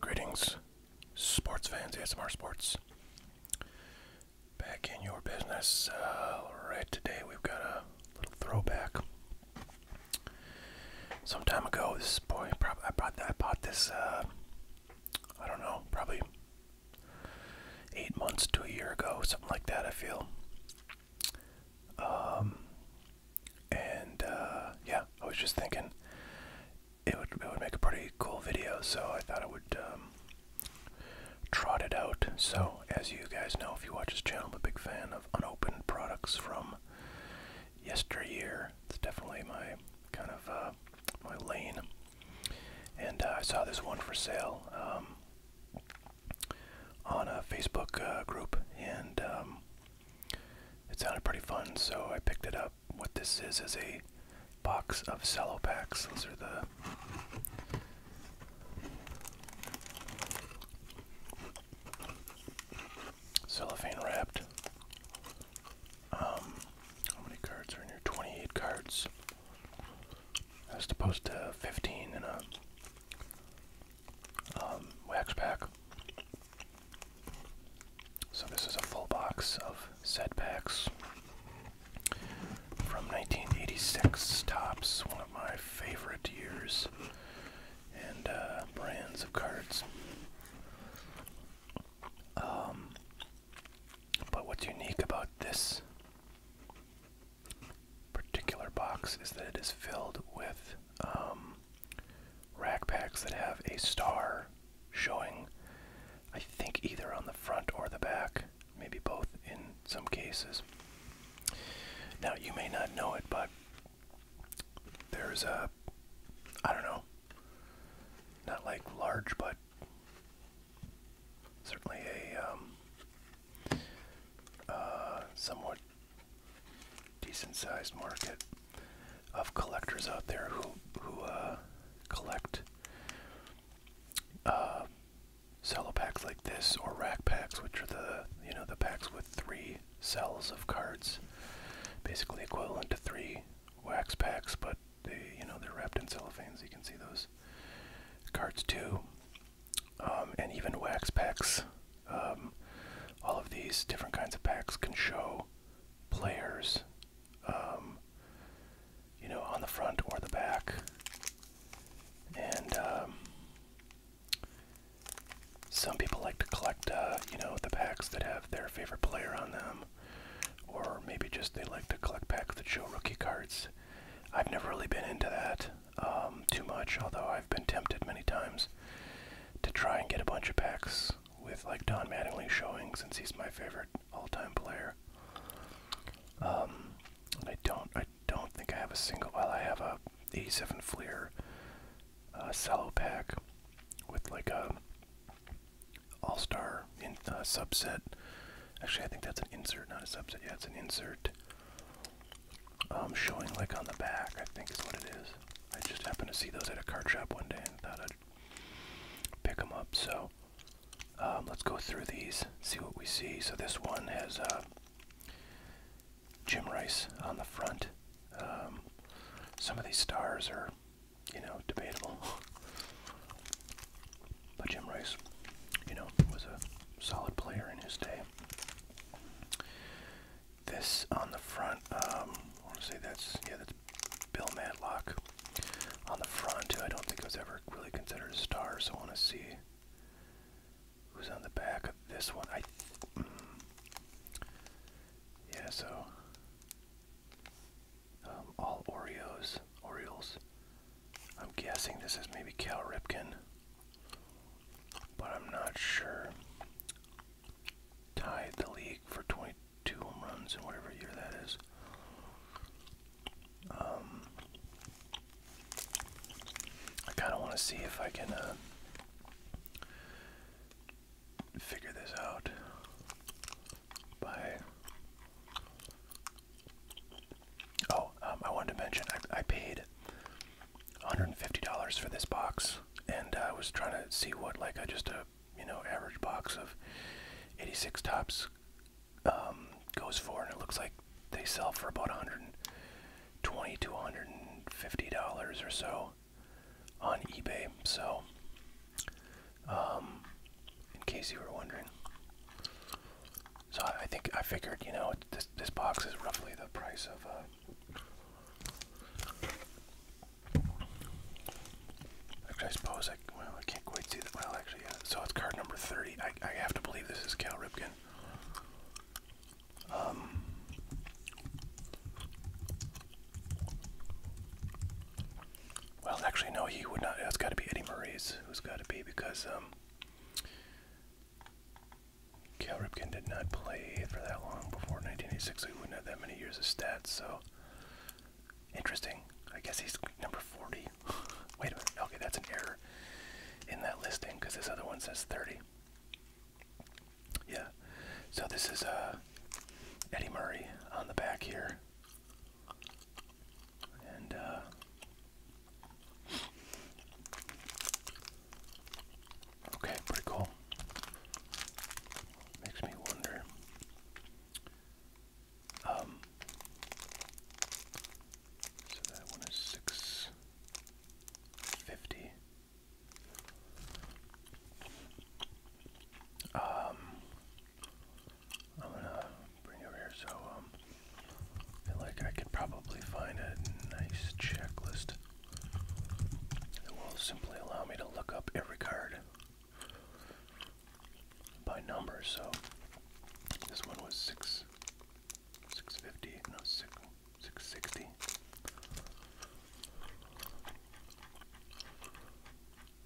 Greetings, sports fans, ASMR Sports. Back in your business. Uh, right today, we've got a little throwback. Some time ago, this boy, I bought, I bought this, uh, I don't know, probably eight months to a year ago, something like that. I feel. Um, and uh, yeah, I was just thinking it would it would make a pretty cool video, so I thought I would um, trot it out. So, as you guys know, if you watch this channel, I'm a big fan of unopened products from yesteryear. It's definitely my kind of uh, my lane. And uh, I saw this one for sale. Um, on a Facebook uh, group, and um, it sounded pretty fun, so I picked it up. What this is is a box of cello packs. Those are the cellophane wrapped. Um, how many cards are in here? 28 cards as opposed to 15 in a um, wax pack. So this is a full box of set packs from 1986 tops, one of my favorite years and uh, brands of cards. Um, but what's unique about this particular box is that it is filled with um, rack packs that have a star showing, I think, either on the front or the back, maybe both in some cases. Now, you may not know it, but there's a, I don't know, not like large, but certainly a um, uh, somewhat decent sized market of collectors out there who who uh, collect uh, cello packs like this or rack packs, which are the you know the packs with three cells of cards, basically equivalent to three wax packs, but they you know they're wrapped in cellophane, so you can see those cards too. Um, and even wax packs. Um, all of these different kinds of packs can show players, um, you know, on the front or the back. And some people like to collect, uh, you know, the packs that have their favorite player on them. Or maybe just they like to collect packs that show rookie cards. I've never really been into that um, too much, although I've been tempted many times to try and get a bunch of packs with like Don Mattingly showing since he's my favorite all-time player. Um, I don't, I don't think I have a single. While I have a '87 Fleer uh, pack with like a all-star in uh, subset Actually, I think that's an insert, not a subset. Yeah, it's an insert. Um, showing like on the back, I think is what it is. I just happened to see those at a card shop one day and thought I'd pick them up. So um, let's go through these, see what we see. So this one has uh, Jim Rice on the front. Um, some of these stars are, you know, debatable. But Jim Rice, you know, was a solid player in his day. This on the front, um, I want to say that's, yeah, that's Bill Matlock on the front, who I don't think was ever really considered a star, so I want to see who's on the back of this one. I, mm, yeah, so, um, all Oreos, Orioles, I'm guessing this is maybe Cal Ripken, but I'm not sure. Tied the league for 22 home runs in whatever year that is. Um, I kind of want to see if I can uh, figure this out by Oh, um, I wanted to mention I, I paid $150 for this box, and I uh, was trying to see what like a just a you know average box of 86 tops um, goes for, and it looks like they sell for about 120 to 150 dollars or so on eBay. So. Um, in case you were wondering. So I, think I figured, you know, this this box is roughly the price of. Uh, actually, I suppose I well I can't quite see that. Well, actually, So it's card number thirty. I I have to believe this is Cal Ripken. Um. Well, actually, no, he would not. It's got to be Eddie Murray's. Who's got to be because um, Cal Ripken did not play for that long before 1986, so he wouldn't have that many years of stats, so interesting. I guess he's number 40. Wait a minute, okay, that's an error in that listing because this other one says 30. Yeah, so this is uh, Eddie Murray on the back here. And, uh, okay, pretty cool. Makes me wonder. Um, so that one is 650. Um, I'm gonna bring you over here. So, um, I feel like I could probably find a nice checklist that will simply allow me to look up every card by number. So, this one was six, six fifty. No, six, six sixty.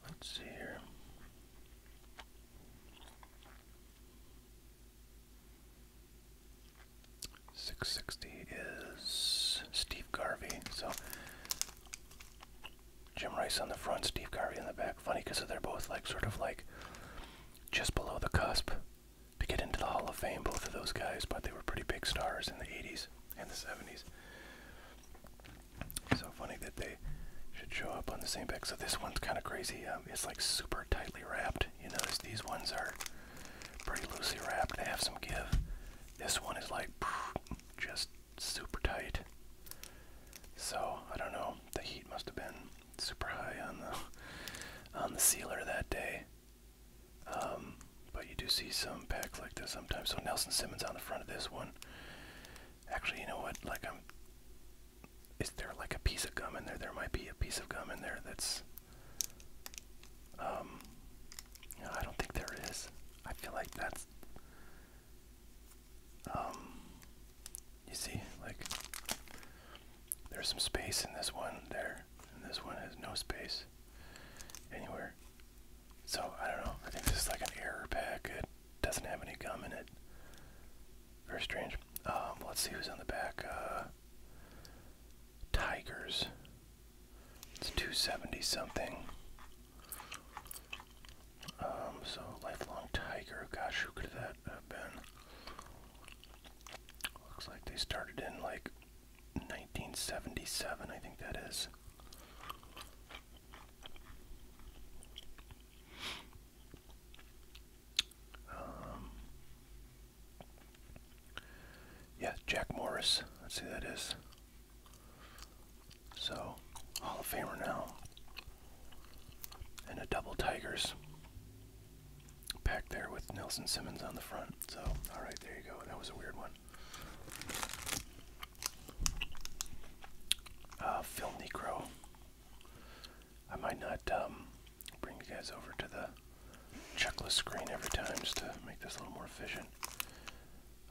Let's see here. 660 is Steve Garvey. So Jim Rice on the front, Steve Garvey in the back. Funny because they're both like sort of like just below the cusp to get into the Hall of Fame, both of those guys, but they were pretty big stars in the 80s and the 70s. So funny that they should show up on the same pack. So this one's kind of crazy. Um, it's like super tightly wrapped. You notice these ones are pretty loosely wrapped. They have some give. This one is like just super tight. So I don't know. The heat must have been super high on the on the sealer that day. Um, but you do see some packs like this sometimes. So Nelson Simmons on the front of this one. Actually, you know what? Like I'm is there like a piece of gum in there? There might be a piece of gum in there that's. Um, I don't think there is. I feel like that's. Um, you see, like, there's some space in this one there, and this one has no space anywhere. So, I don't know. I think this is like an error packet doesn't have any gum in it. Very strange. Um, let's see who's on the back. Uh, Tigers. It's 270 something. Um, so lifelong tiger. Gosh, who could that have been? Looks like they started in like 1977, I think that is. Um, yeah, Jack Morris. Let's see who that is. So, Hall of Famer now. And a double Tigers pack there with Nelson Simmons on the front. So, alright, there you go. That was a weird one. Uh, Phil Necro. I might not um, bring you guys over to the checklist screen every time just to make this a little more efficient.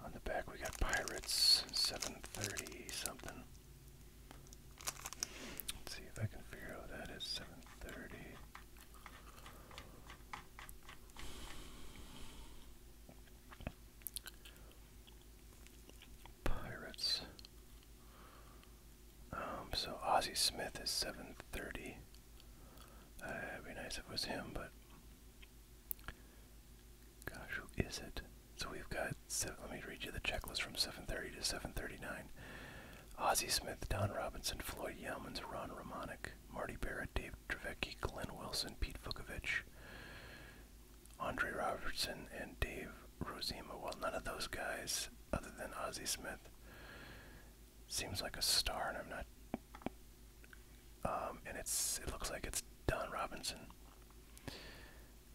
On the back we got Pirates, 730 something. Let's see if I can figure out that is 730. Pirates. Um, so Ozzy Smith is 730. Uh, it'd be nice if it was him, but gosh, who is it? So we've got. let me read you the checklist from 7:30 to 7:39. Ozzy Smith, Don Robinson, Floyd Yelmans, Ron Romanek, Marty Barrett, Dave Trevecki, Glenn Wilson, Pete Vukovich, Andre Robertson and Dave Rosema. Well, none of those guys, other than Ozzy Smith, seems like a star, and I'm not. Um, and it's it looks like it's Don Robinson,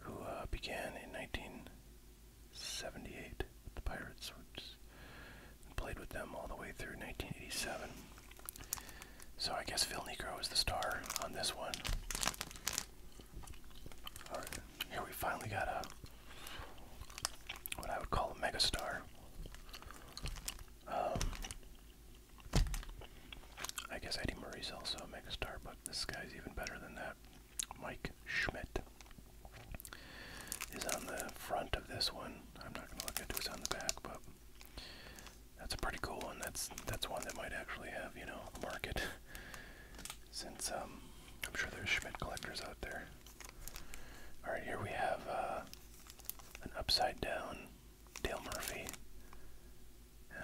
who uh, began in 1978 with the Pirates, which, and played with them all the way through 1987. So I guess Phil Negro is the star on this one here we finally got a what I would call a megastar. Um, I guess Eddie Murray's also a megastar, but this guy's even better than that. Mike Schmidt is on the front of this one. I'm not gonna look at who's on the back, but that's a pretty cool one. That's that's one that might actually have, you know, a market. since um, I'm sure there's Schmidt collectors out there. Alright, here we have uh, an upside down Dale Murphy.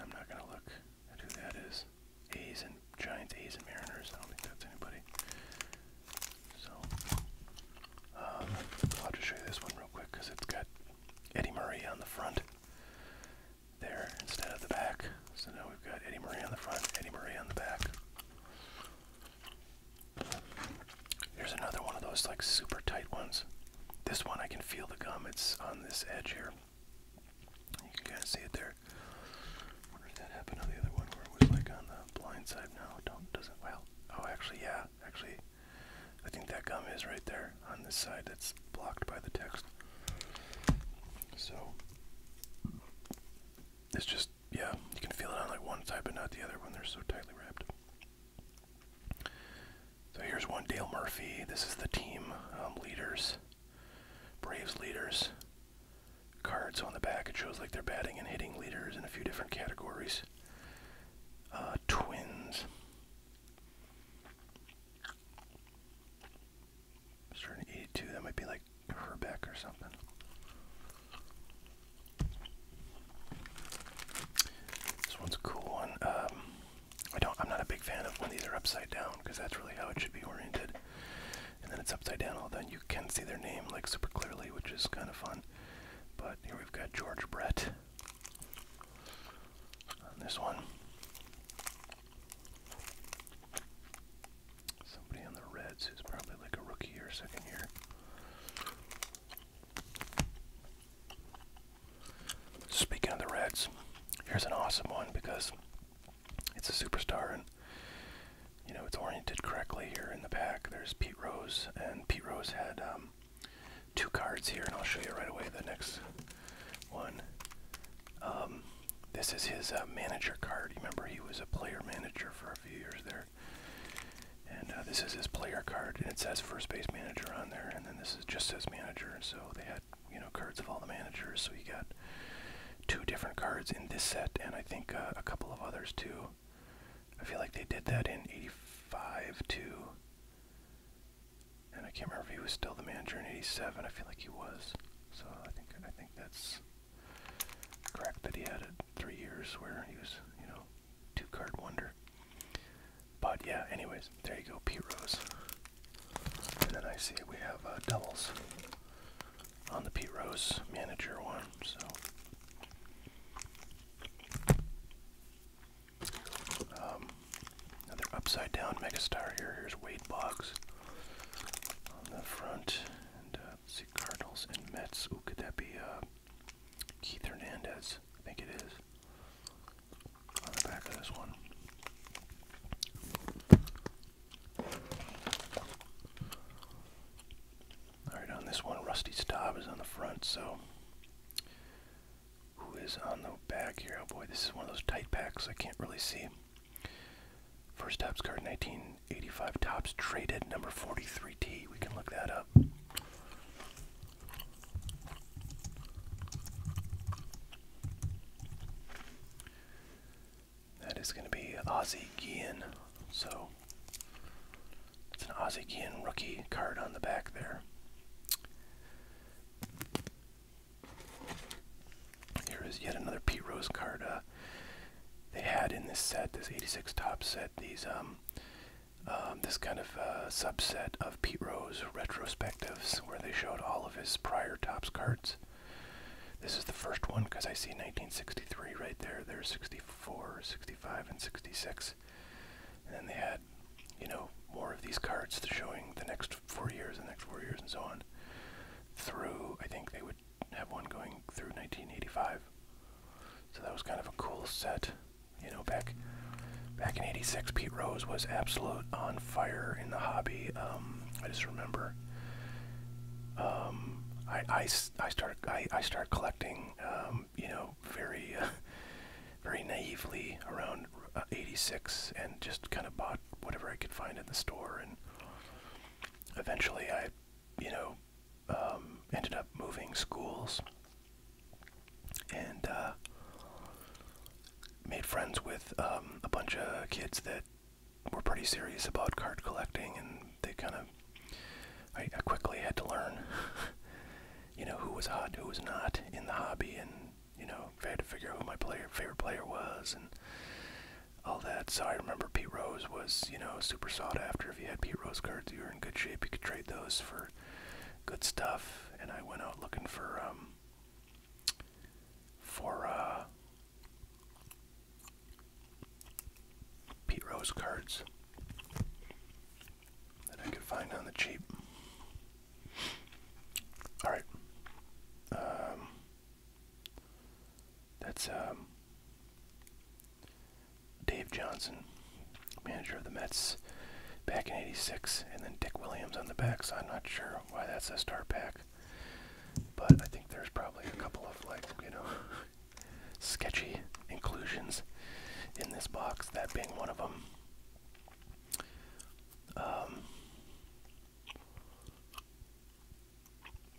I'm not going to look at who that is. A's and Giants, A's and Mariners. I don't think that's anybody. So, um, I'll just show you this one real quick because it's got Eddie Murray on the front there instead of the back. So now we've got Eddie Marie on the front, Eddie Marie on the back. Here's another one of those like super tight ones. This one I can feel the gum. It's on this edge here. You can kind of see it there. Wonder if that happened on the other one where it was like on the blind side. No, don't doesn't. Well, oh, actually, yeah, actually, I think that gum is right there on this side that's blocked by the text. So it's just yeah, you can feel it on like one side but not the other when they're so tightly wrapped. So here's one Dale Murphy. This is the team um, leaders, Braves leaders. Cards on the back. It shows like they're batting and hitting leaders in a few different categories. Uh, twins starting to That might be like Herbeck or something. This one's a cool one. Um, I don't. I'm not a big fan of when these are upside down because that's really how it should be oriented. And then it's upside down. then you can see their name like super clearly, which is kind of fun. But here we've got George Brett on this one. Somebody on the Reds who's probably like a rookie or second year. Speaking of the Reds, here's an awesome one because it's a superstar and you know it's oriented correctly here in the back. There's Pete Rose and Pete Rose had um, two cards here and I'll show you right away the next one. Um, this is his uh, manager card. Remember, he was a player manager for a few years there. And uh, this is his player card, and it says first base manager on there, and then this is just says manager. So they had you know cards of all the managers. So he got two different cards in this set, and I think uh, a couple of others too. I feel like they did that in '85 too. And I can't remember if he was still the manager in '87. I feel like he was. So I think I think that's correct that he had three years where he was, you know, two card wonder. But yeah, anyways, there you go, Pete Rose. And then I see we have uh, doubles on the Pete Rose manager one. So. Um, Another upside down megastar here. Here's Wade Boggs on the front. And uh, see, Cardinals and Mets. Ooh, could that be uh, Keith Hernandez? I think it is. On the back of this one. Alright, on this one, Rusty Staub is on the front, so who is on the back here. Oh boy, this is one of those tight packs I can't really see. First tops card, 1985 tops traded, number 43T. We can look that up. That is going to be Ozzie Guillen. So it's an Ozzie Guillen rookie card on the back there. Here is yet another Pete Rose card. Uh, they had in this set, this 86 top set, these um, um this kind of uh, subset of Pete Rose retrospectives where they showed all of his prior tops cards. This is the first one because I see 1963 right there. There's 64, 65, and 66. And then they had you know, more of these cards showing the next four years, the next four years, and so on, through, I think they would have one going through 1985. So that was kind of a cool set. You know, back back in 86, Pete Rose was absolute on fire in the hobby. Um, I just remember um, I, I, I started I, I started collecting, um, you know, very very naively around uh, 86 and just kind of bought whatever I could find in the store. And eventually I, you know, um, ended up moving schools and uh, made friends with um, a bunch of kids that were pretty serious about card collecting and they kind of I quickly had to learn you know who was hot who was not in the hobby and you know, I had to figure out who my player favorite player was and all that. So I remember Pete Rose was, you know, super sought after. If you had Pete Rose cards, you were in good shape. You could trade those for good stuff. And I went out looking for um for uh Pete Rose cards that I could find on the cheap. All right. Um, that's um, Dave Johnson, manager of the Mets back in 86, and then Dick Williams on the back, so I'm not sure why that's a star pack. But I think there's probably a couple of, like, you know, sketchy inclusions in this box, that being one of them. Um,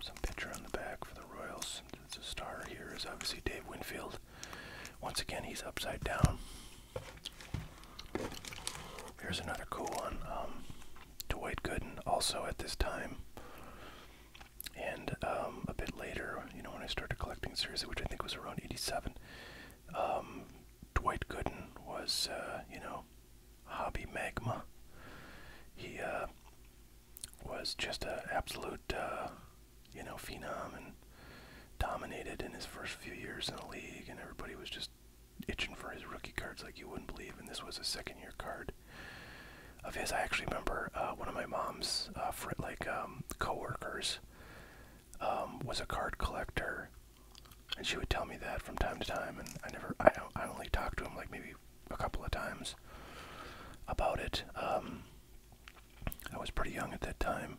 some picture on the back for the Royals. It's a star here is obviously Dave Winfield. Once again, he's upside down. Here's another cool one. Um, Dwight Gooden, also at this time. And um, a bit later, you know, when I started collecting series, which I think was around 87, um, Dwight Gooden was, uh, you know, hobby magma. He uh, was just an absolute, uh, you know, phenom and dominated in his first few years in the league, and everybody was just itching for his rookie cards like you wouldn't believe. And this was a second-year card of his. I actually remember uh, one of my mom's uh, fr like um, coworkers um, was a card collector and she would tell me that from time to time, and I never, I don't, I only talked to him like maybe a couple of times about it. Um, I was pretty young at that time,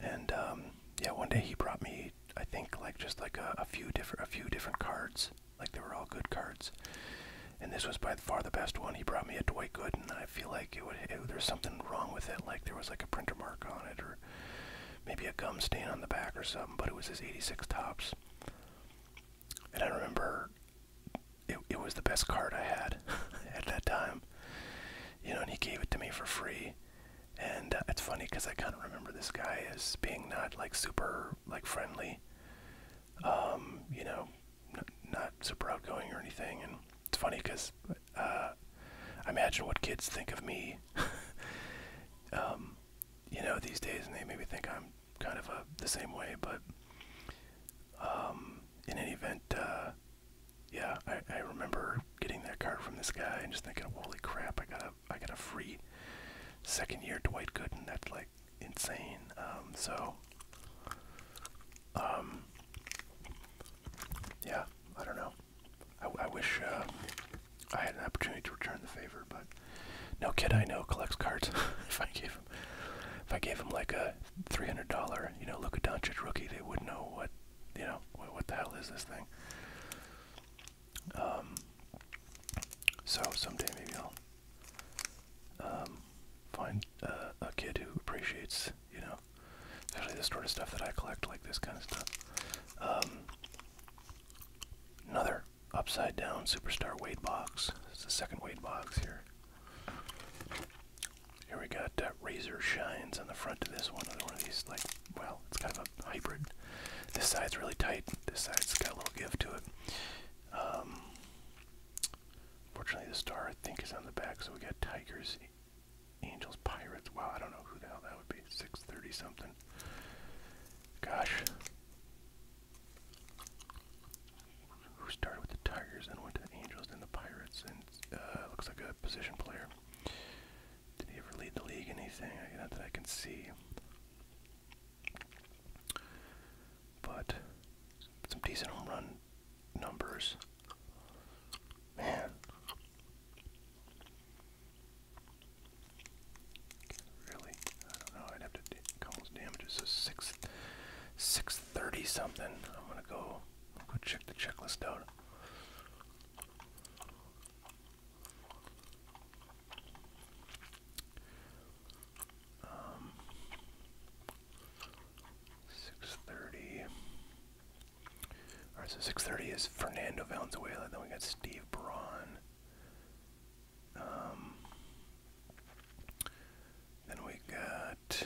and um, yeah, one day he brought me, I think, like just like a, a few different, a few different cards. Like they were all good cards, and this was by far the best one. He brought me a Dwight Gooden, and I feel like it would, it, there's something wrong with it. Like there was like a printer mark on it, or maybe a gum stain on the back or something, but it was his 86 tops. And I remember it, it was the best card I had at that time. You know, and he gave it to me for free. And uh, it's funny because I kind of remember this guy as being not like super like friendly, um, you know, not super outgoing or anything. And it's funny because uh, imagine what kids think of me, um, you know, these days, and they maybe think I'm kind of a, the same way, but um, in any event, uh, yeah, I, I remember getting that card from this guy and just thinking, holy crap, I got a, I got a free second year Dwight Gooden, that's like insane, um, so, um, yeah, I don't know. I, wish uh, I had an opportunity to return the favor, but no kid I know collects cards. if I gave him, if I gave him like a three hundred dollar, you know, Luka Doncic rookie, they wouldn't know what, you know, what, the hell is this thing. Um. So someday maybe I'll um, find uh, a kid who appreciates, you know, know. Especially this sort of stuff that I collect, like this kind of stuff. Um, another upside down superstar weight box. It's the second weight box here. Here we got uh, razor shines on the front of this one. Another one of these, like, well, it's kind of a hybrid. This side's really tight. This side's got a little give to it. Um, fortunately, the star I think is on the back, so we got tigers Angels Pirates. Wow, I don't know who the hell that would be. 6:30 something. Gosh. Who started with the Tigers and went to the Angels and the Pirates and uh, looks like a position player. Did he ever lead the league anything? Not that I can see. But some decent home run numbers. Man. Really? I don't know. I'd have to cause damages. So six six thirty something. I'm gonna go go check the checklist out. Um, six thirty. Alright, so 6.30 is Fernando Valenzuela. Then we got Steve Braun. Um, then we got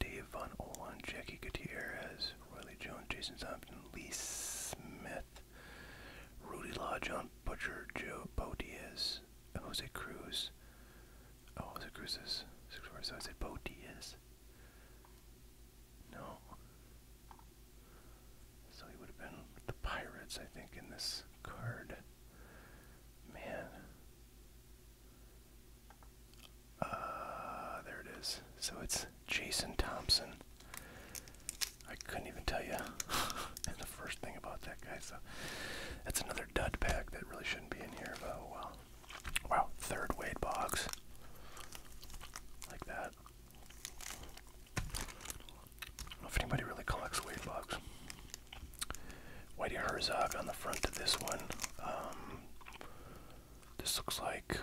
Dave Von Olan, Jackie Gutierrez, Riley Jones, Jason Thompson, Lee Smith, Rudy Law, John Butcher, Joe Bo Diaz, Jose Cruz. Oh, Jose Cruz is six so I said Bo Diaz. No. So he would have been the Pirates, I think, in this card. Man. Uh, there it is. So it's Jason Thompson. I couldn't even tell you the first thing about that guy. So that's another dud pack that really shouldn't be in here, but oh well. Wow, third weight box. Like that. I don't know if anybody really collects weight boxes. Whitey Herzog on the front of this one. Um, this looks like,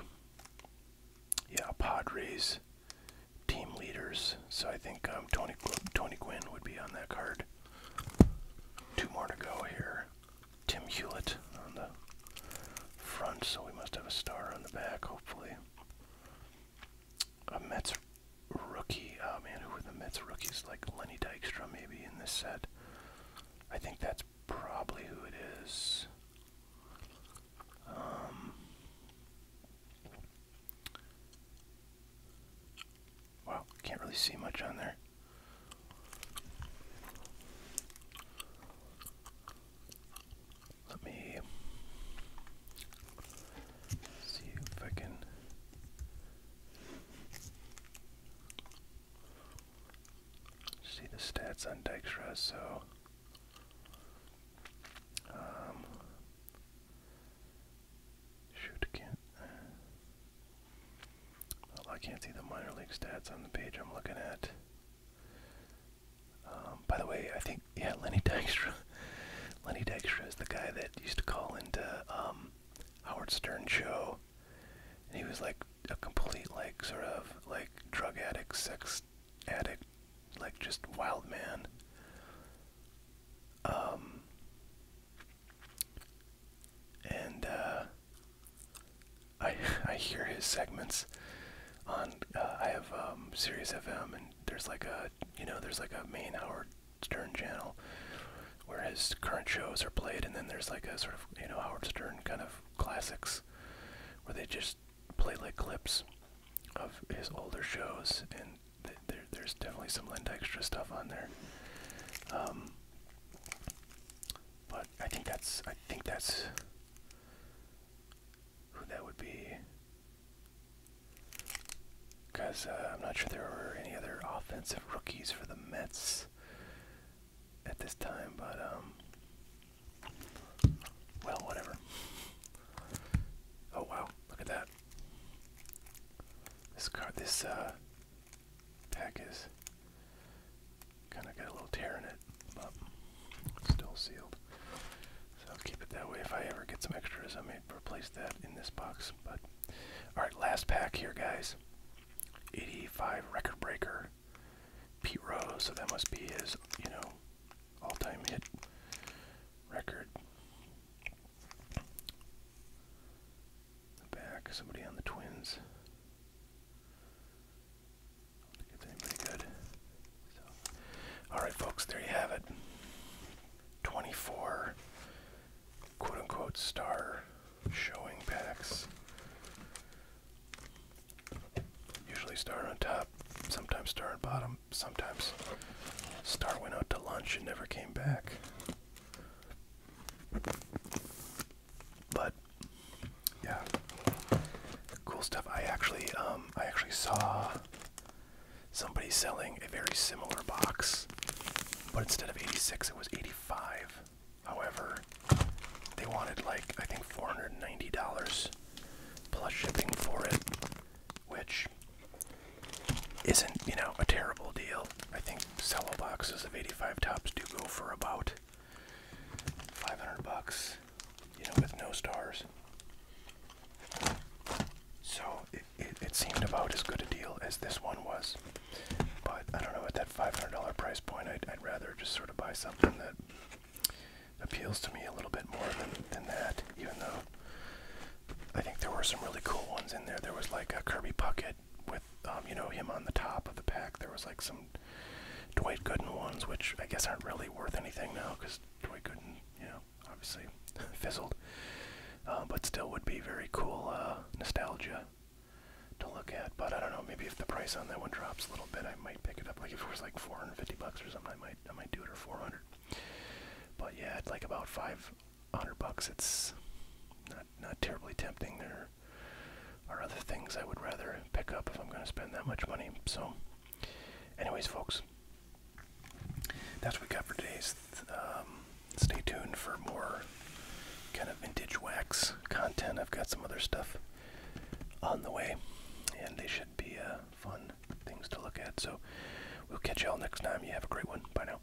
yeah, Padres team leaders. So I think um, Tony Tony Gwynn would be on that card. Two more to go here. Tim Hewlett on the front, so we must have a star on the back, hopefully. A Mets rookie. Oh man, who were the Mets rookies? Like Lenny Dykstra, maybe, in this set. I think that's probably who it is. Um, Wow, can't really see much on there. Let me see if I can. See the stats on Dijkstra, so um, shoot, can't. I can't see the minor league stats on the page I'm looking at. Um, by the way, I think yeah, Lenny Dykstra. Lenny Dykstra is the guy that used to call into um, Howard Stern show, he was like a complete like sort of like drug addict, sex addict, like just wild man. Um, and uh, I I hear his segments on. Uh, I have um, Sirius FM, and there's like a you know there's like a main Howard Stern channel where his current shows are played, and then there's like a sort of you know Howard Stern kind of classics where they just play like clips of his older shows, and there, there's definitely some Len Dykstra stuff on there. Um, but I think that's I think that's who that would be. Because uh, I'm not sure there were any other offensive rookies for the Mets at this time, but um, well, whatever. Oh wow, look at that! This card, this uh, pack is kind of got a little tear in it, but still sealed. So I'll keep it that way. If I ever get some extras, I may replace that in this box. But all right, last pack here, guys. 85 record breaker, Pete Rose. So that must be his, you know, all-time hit record the back, somebody on the twins. I think it's pretty good. all right, folks, there you have it. 24 quote unquote star showing packs. Usually star on top, sometimes star on bottom, sometimes star went out to lunch and never came back. But yeah, cool stuff. I actually, um, I actually saw somebody selling a very similar box, but instead of 86, it was 85. However, they wanted like I think $490 plus shipping for it, which isn't you know a terrible deal. I think sell a box is a 80 55 tops do go for about 500 bucks, you know, with no stars. So it, seemed about as good a deal as this one was. But I don't know, at that $500 price point, I'd, rather just sort of buy something that appeals to me a little bit more than, than that, even though I think there were some really cool ones in there. There was like a Kirby bucket it with um, you know him on the top of the pack. There was like some Dwight Gooden ones, which I guess aren't really worth anything now because Dwight Gooden, you know, obviously fizzled. Uh, but still, would be very cool uh, nostalgia to look at. But I don't know. Maybe if the price on that one drops a little bit, I might pick it up. Like if it was like 450 bucks or something, I might I might do it or 400. But yeah, at like about five 100 bucks it's not terribly tempting there are other things I would rather pick up if I'm going to spend that much money so anyways folks that's what we got for today. Um, stay tuned for more kind of vintage wax content I've got some other stuff on the way and they should be uh, fun things to look at so we'll catch y'all next time you have a great one bye now